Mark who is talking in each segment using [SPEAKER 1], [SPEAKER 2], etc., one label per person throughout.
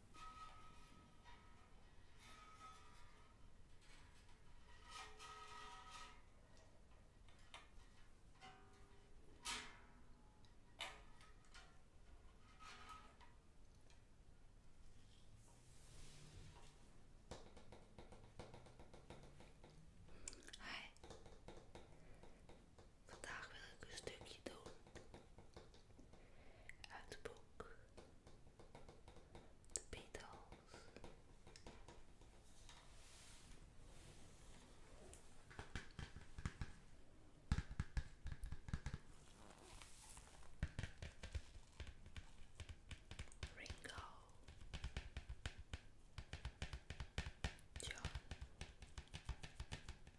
[SPEAKER 1] Hi. Vandaag wil ik een stukje doen uit het The Beatles. Ringo John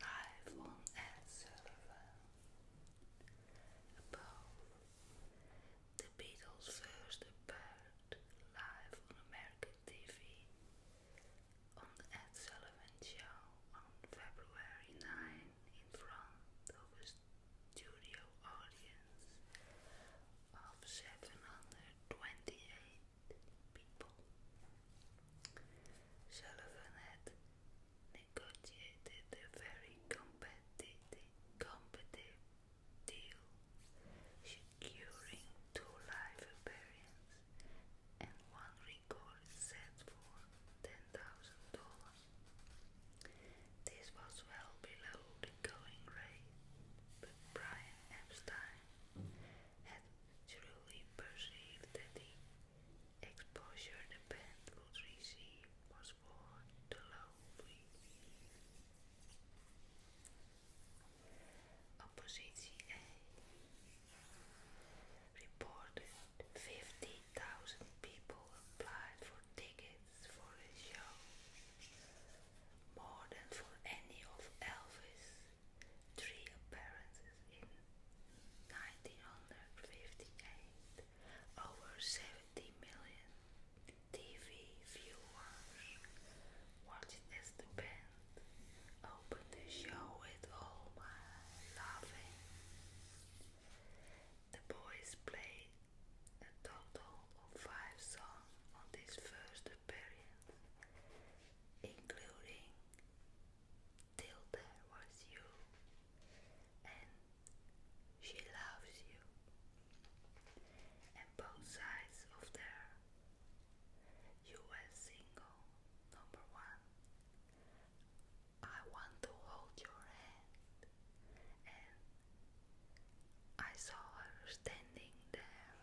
[SPEAKER 1] Live on a server the Beatles first appeared live on American TV on the Ed Sullivan Show on February 9, in front of a studio audience of 728 people. Sullivan had negotiated a very competitive, deal, securing two live appearances and one record set for the $10,000. This was well below the going rate, but Brian Epstein had surely perceived that the exposure the band would receive was far too lowly. Oppositie A reported 50,000 people applied for tickets for his show, more than for any of Elvis' three appearances in 1958. Over 70 million TV viewers watched as the band open the show with all my loving. The boys played a total of five songs on this first appearance, including Till There Was You and She Loves You, and both sides of their US single number one I want to hold your hand. And I saw her standing there.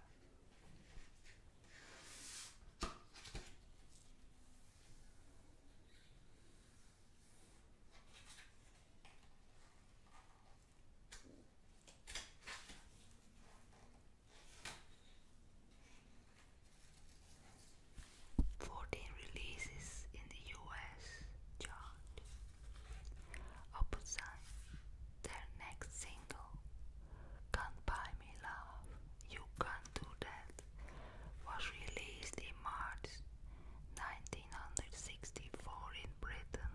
[SPEAKER 1] Fourteen releases in the US chart. Opposite their next single, Can't Buy Me Love, You Can't Do That, was released in March 1964 in Britain.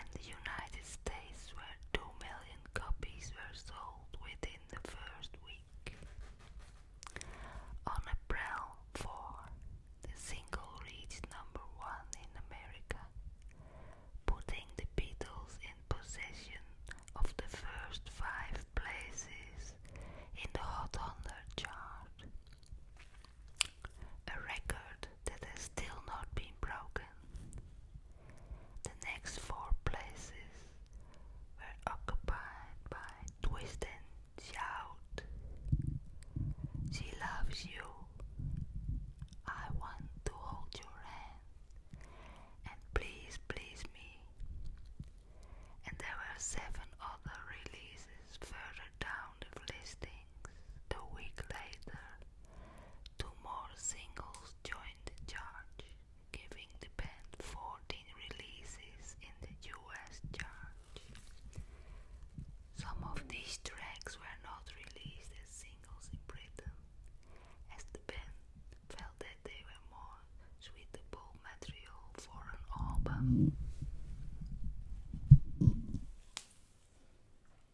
[SPEAKER 1] And the United States where 2 million copies were sold within in the first week. On April 4, the single reached number one in America, putting the Beatles in possession of the first five places in the Hot 100 chart, a record that has still not been broken. The next four places were occupied by Twisted Shout. She loves you. I want to hold your hand and please please me. And there were seven other releases further down the listings. The week later, two more singles joined the charge giving the band fourteen releases in the US chart. Some of these tracks were not released as singles in Britain, as the band felt that they were more suitable material for an album.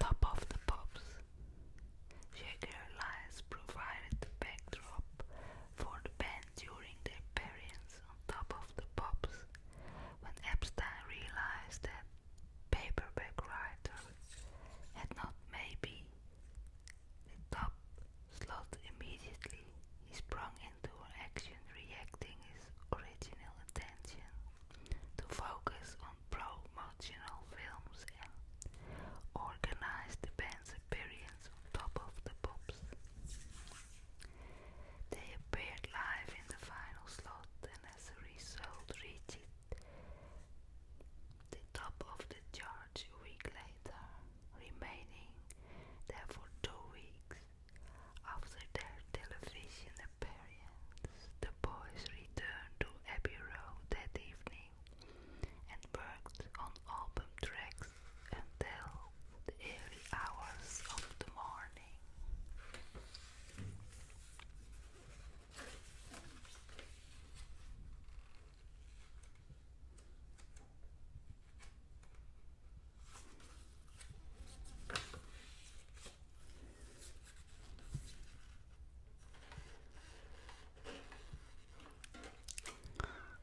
[SPEAKER 1] Top of the Pops. Jaguar Lies provided the backdrop for the band during their appearance on Top of the Pops when Epstein realized that Paperback Writer had not maybe the top slot immediately. He sprung into action, reacting his original attention to focus on promotional films organized the band's appearance on top of the pops. They appeared live in the final slot and as a result reached the top of the charts a week later, remaining there for two weeks. After their television appearance, the boys returned to Abbey Road that evening and worked on album tracks until the early hours of the morning.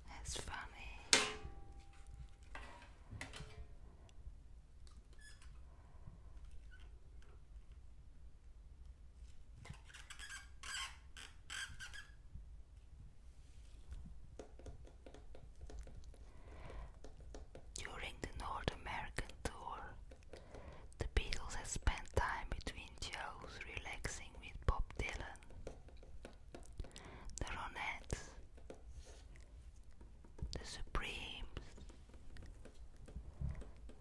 [SPEAKER 1] That's funny. During the North American tour, the Beatles had spent time between shows relaxing with Bob Dylan, the Ronettes, the Supremes,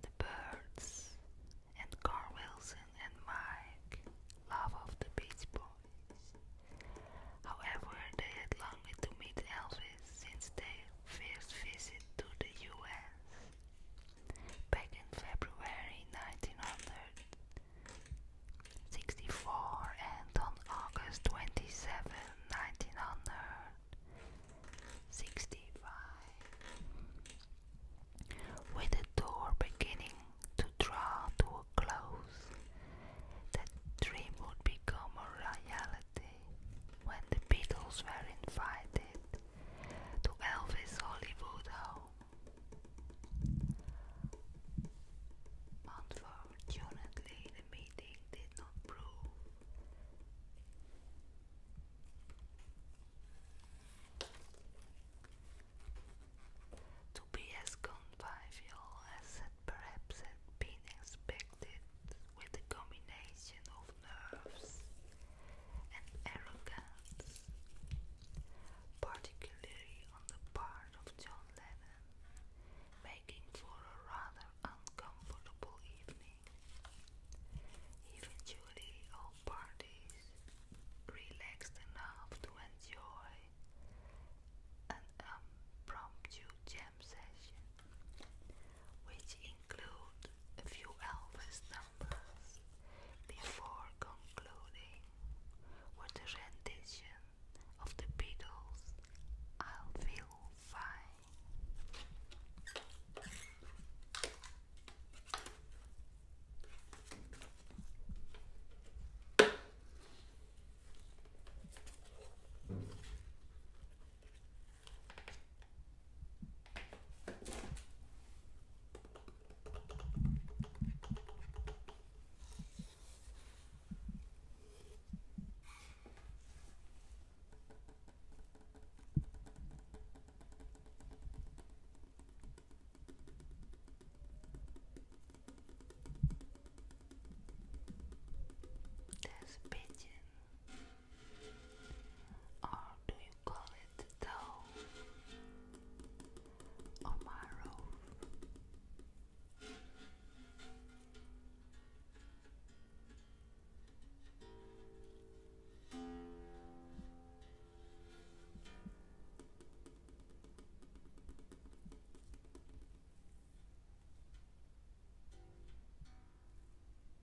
[SPEAKER 1] the Birds, and Carl Wilson and Mike Love of the Beach Boys. However, they had longed to meet Elvis since their first visit to the US. Back in February 1964 and on August 27, 1965, with the door beginning to draw to a close, that dream would become a reality when the Beatles were invited to Elvis Hollywood Home. Unfortunately, the meeting did not prove. To be as convivial as perhaps been expected with the combination of of nerves and arrogance, particularly on the part of John Lennon, making for a rather uncomfortable evening. Eventually, all parties relaxed enough to enjoy an impromptu jam session, which include a few Elvis canvas before concluding with a rendition of the Beatles' i Feel Fine. There's a pigeon. Or do you call it dough? Or marrow? Now